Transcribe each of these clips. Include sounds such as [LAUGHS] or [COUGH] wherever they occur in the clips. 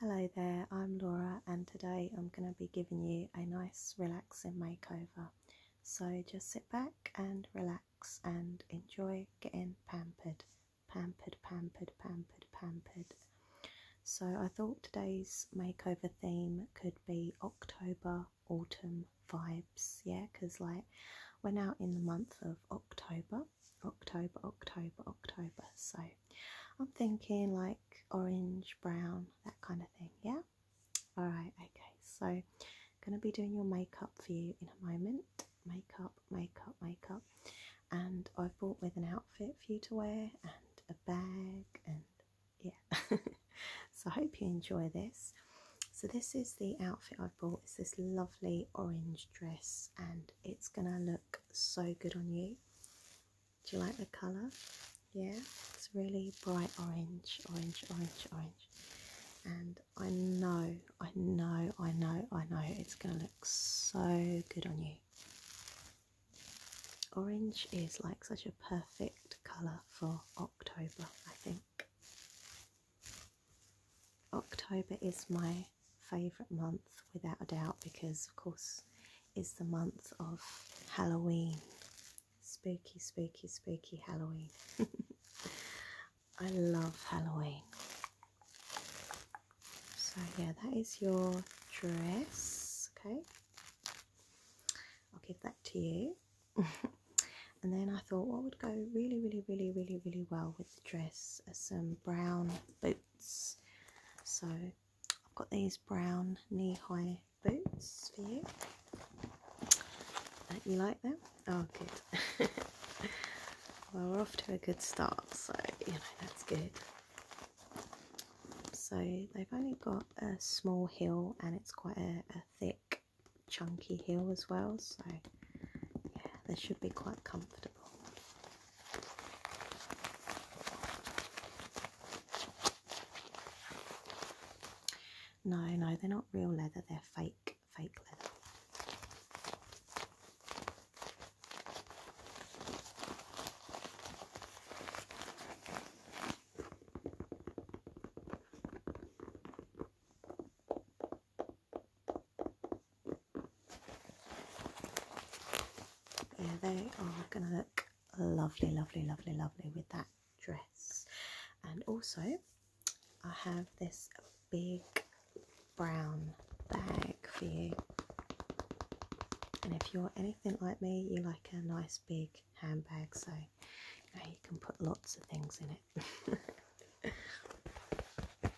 Hello there, I'm Laura and today I'm going to be giving you a nice relaxing makeover. So just sit back and relax and enjoy getting pampered, pampered, pampered, pampered, pampered. So I thought today's makeover theme could be October autumn vibes, yeah, because like we're now in the month of October October, October, October. So I'm thinking like orange, brown, that kind of thing. Yeah. All right. Okay. So I'm gonna be doing your makeup for you in a moment. Makeup, makeup, makeup. And I've bought with an outfit for you to wear and a bag and yeah. [LAUGHS] so I hope you enjoy this. So this is the outfit I've bought. It's this lovely orange dress and it's gonna look so good on you. Do you like the colour? Yeah, it's really bright orange, orange, orange, orange. And I know, I know, I know, I know it's going to look so good on you. Orange is like such a perfect colour for October, I think. October is my favourite month without a doubt because, of course, it's the month of Halloween. Spooky, spooky, spooky Halloween. [LAUGHS] I love Halloween. So, yeah, that is your dress. Okay, I'll give that to you. [LAUGHS] and then I thought what would go really, really, really, really, really well with the dress some brown boots. So I've got these brown knee-high boots for you. Don't you like them? Oh, good. [LAUGHS] well, we're off to a good start, so, you know, that's good. So they've only got a small heel and it's quite a, a thick, chunky heel as well, so yeah, they should be quite comfortable. No, no, they're not real leather, they're fake, fake leather. Yeah, they are going to look lovely, lovely, lovely, lovely with that dress. And also, I have this big brown bag for you. And if you're anything like me, you like a nice big handbag, so you, you can put lots of things in it. [LAUGHS]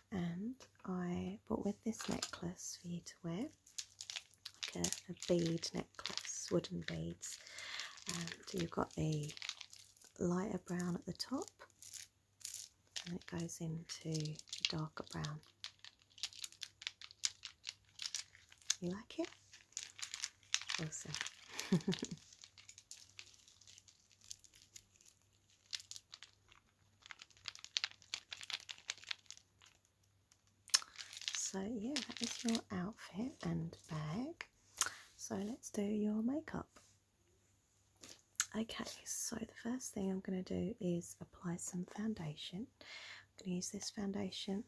and I bought with this necklace for you to wear like a, bead necklace wooden beads and um, you've got a lighter brown at the top and it goes into darker brown you like it? awesome [LAUGHS] So yeah, that is your outfit and bag. So let's do your makeup. Okay, so the first thing I'm going to do is apply some foundation. I'm going to use this foundation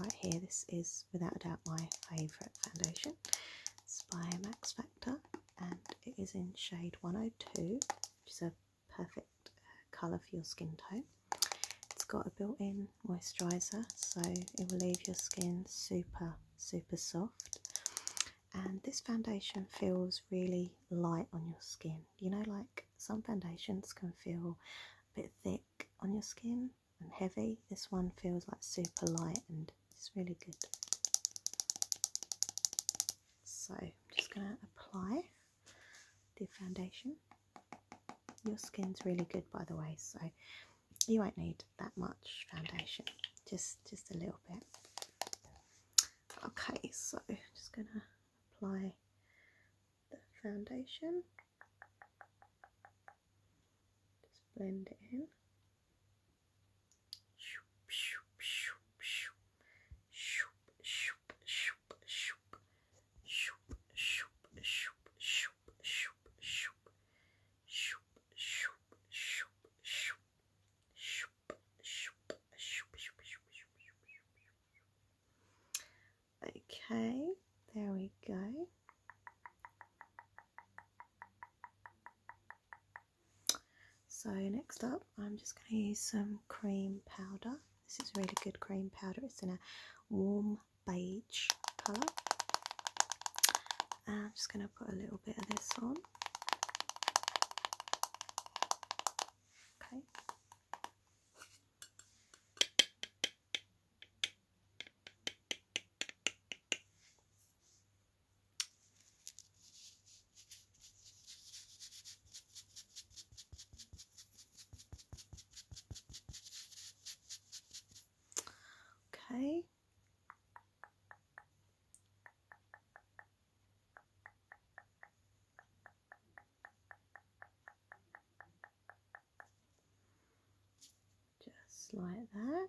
right here. This is without a doubt my favourite foundation. It's by Max Factor and it is in shade 102, which is a perfect colour for your skin tone. It's got a built-in moisturiser, so it will leave your skin super, super soft. And this foundation feels really light on your skin. You know, like some foundations can feel a bit thick on your skin and heavy. This one feels like super light and it's really good. So I'm just going to apply the foundation. Your skin's really good, by the way, so you won't need that much foundation, just, just a little bit. Okay, so I'm just going to apply the foundation. Just blend it in. Shoop, shoop, shoop, shoop. Shoop, shoop, shoop, shoop. Shoop, shoop, shoop, shoop, shoop, shoop. Shoop, shoop, shoop, shoop. Shoop, shoop, shoop, shoop, shoop, shoop, shoop, shoop. Okay, there we go. So next up, I'm just going to use some cream powder. This is really good cream powder. It's in a warm beige colour. And I'm just going to put a little bit of this on. Okay. Okay. Just like that.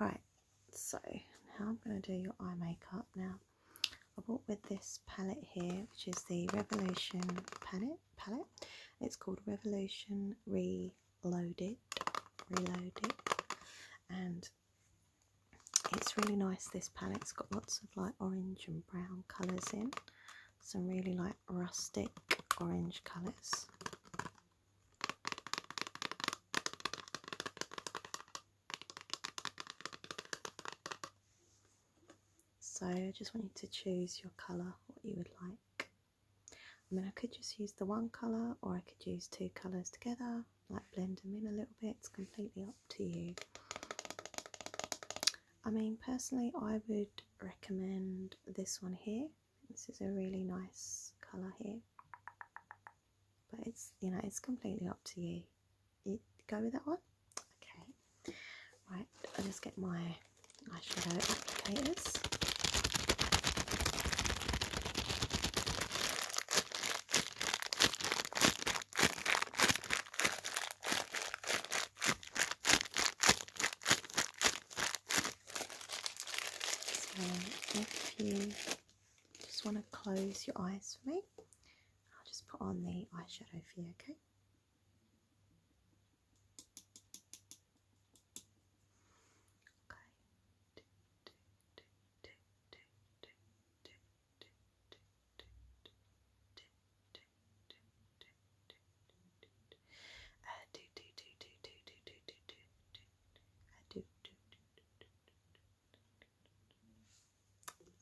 Alright, so now I'm going to do your eye makeup. Now, I bought with this palette here, which is the Revolution palette. palette. It's called Revolution Reloaded. Reloaded. And it's really nice, this palette. It's got lots of like orange and brown colours in. Some really like rustic orange colours. So I just want you to choose your colour, what you would like. I mean, I could just use the one colour or I could use two colours together, like blend them in a little bit. It's completely up to you. I mean, personally, I would recommend this one here. This is a really nice colour here, but it's you know, it's completely up to you. You go with that one, okay? Right, i just get my eyeshadow applicators. So if you just want to close your eyes for me, I'll just put on the eyeshadow for you, okay? Okay.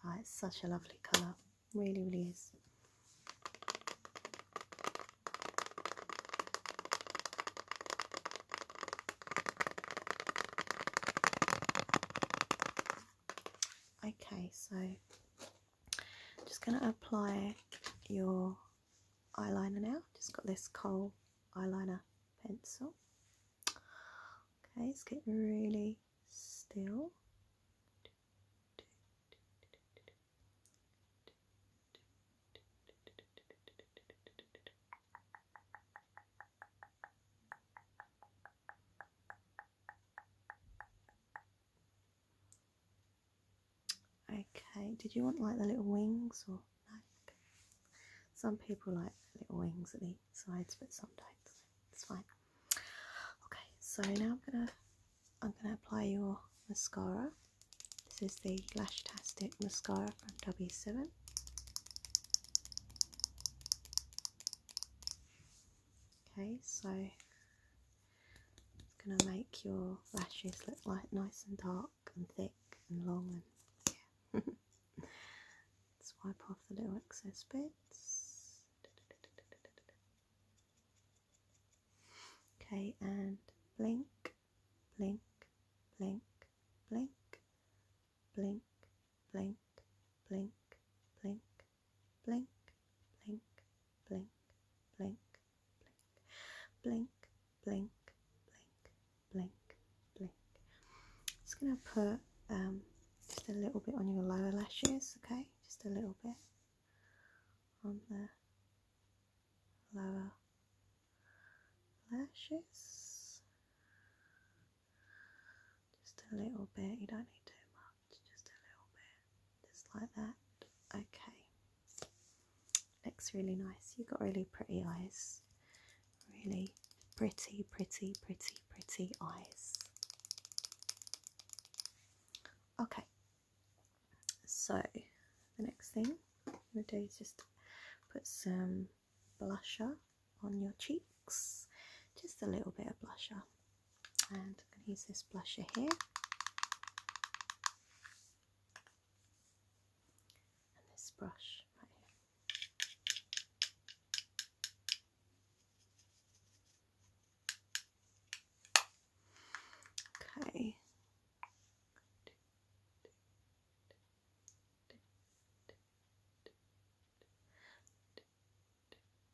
Oh, it's such a lovely colour, really, really is. Okay, so I'm just going to apply your eyeliner now. Just got this Cole eyeliner pencil. Okay, it's getting really still. Okay, did you want like the little wings or no? Some people like little wings at the sides, but sometimes It's fine. Okay, so now I'm gonna I'm gonna apply your mascara. This is the Lash Tastic mascara from W7. Okay, so it's going to make your lashes look like nice and dark and thick and long and yeah. Swipe [LAUGHS] off the little excess bits. Okay, and blink, blink, blink, blink, blink, blink, blink, blink, blink, blink, blink, blink, blink, blink, blink, blink, blink. Just gonna put um, just a little bit on your lower lashes, okay? Just a little bit on the lower lashes just a little bit, you don't need too much, just a little bit, just like that. Okay, looks really nice. You've got really pretty eyes, really pretty, pretty, pretty, pretty eyes. Okay, so the next thing I'm going to do is just put some blusher on your cheeks, just a little bit of blusher. And I'm going to use this blusher here. And this brush right here. Okay.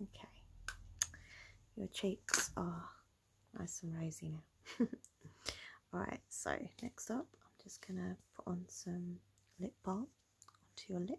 Okay, your cheeks are nice and rosy now. [LAUGHS] Alright, so next up, I'm just going to put on some lip balm onto your lips.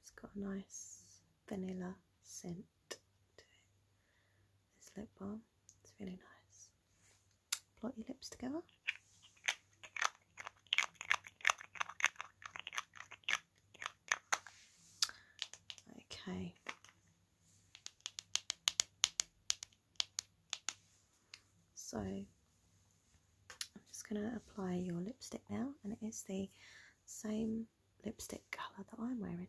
It's got a nice vanilla scent to it. This lip balm, it's really nice. Put your lips together. Okay. So I'm just going to apply your lipstick now, and it is the same lipstick colour that I'm wearing.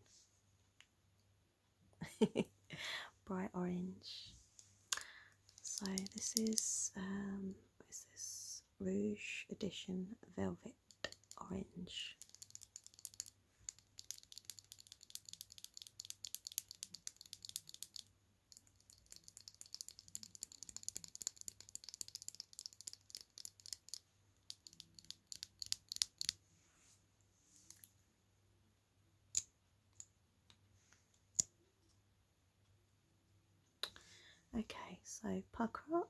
[LAUGHS] Bright orange. So this is, um, what is this? Rouge Edition Velvet Orange. Okay, so pucker up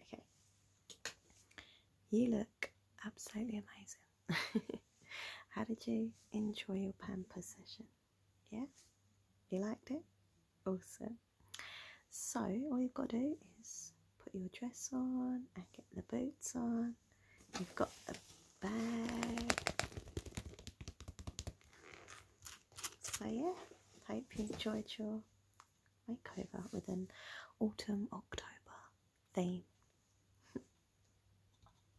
Okay, you look absolutely amazing. [LAUGHS] How did you enjoy your pamper session? Yeah, you liked it? Awesome. So, all you've got to do is put your dress on and get the boots on. You've got the bag. So, yeah, hope you enjoyed your makeover with an autumn October theme. [LAUGHS]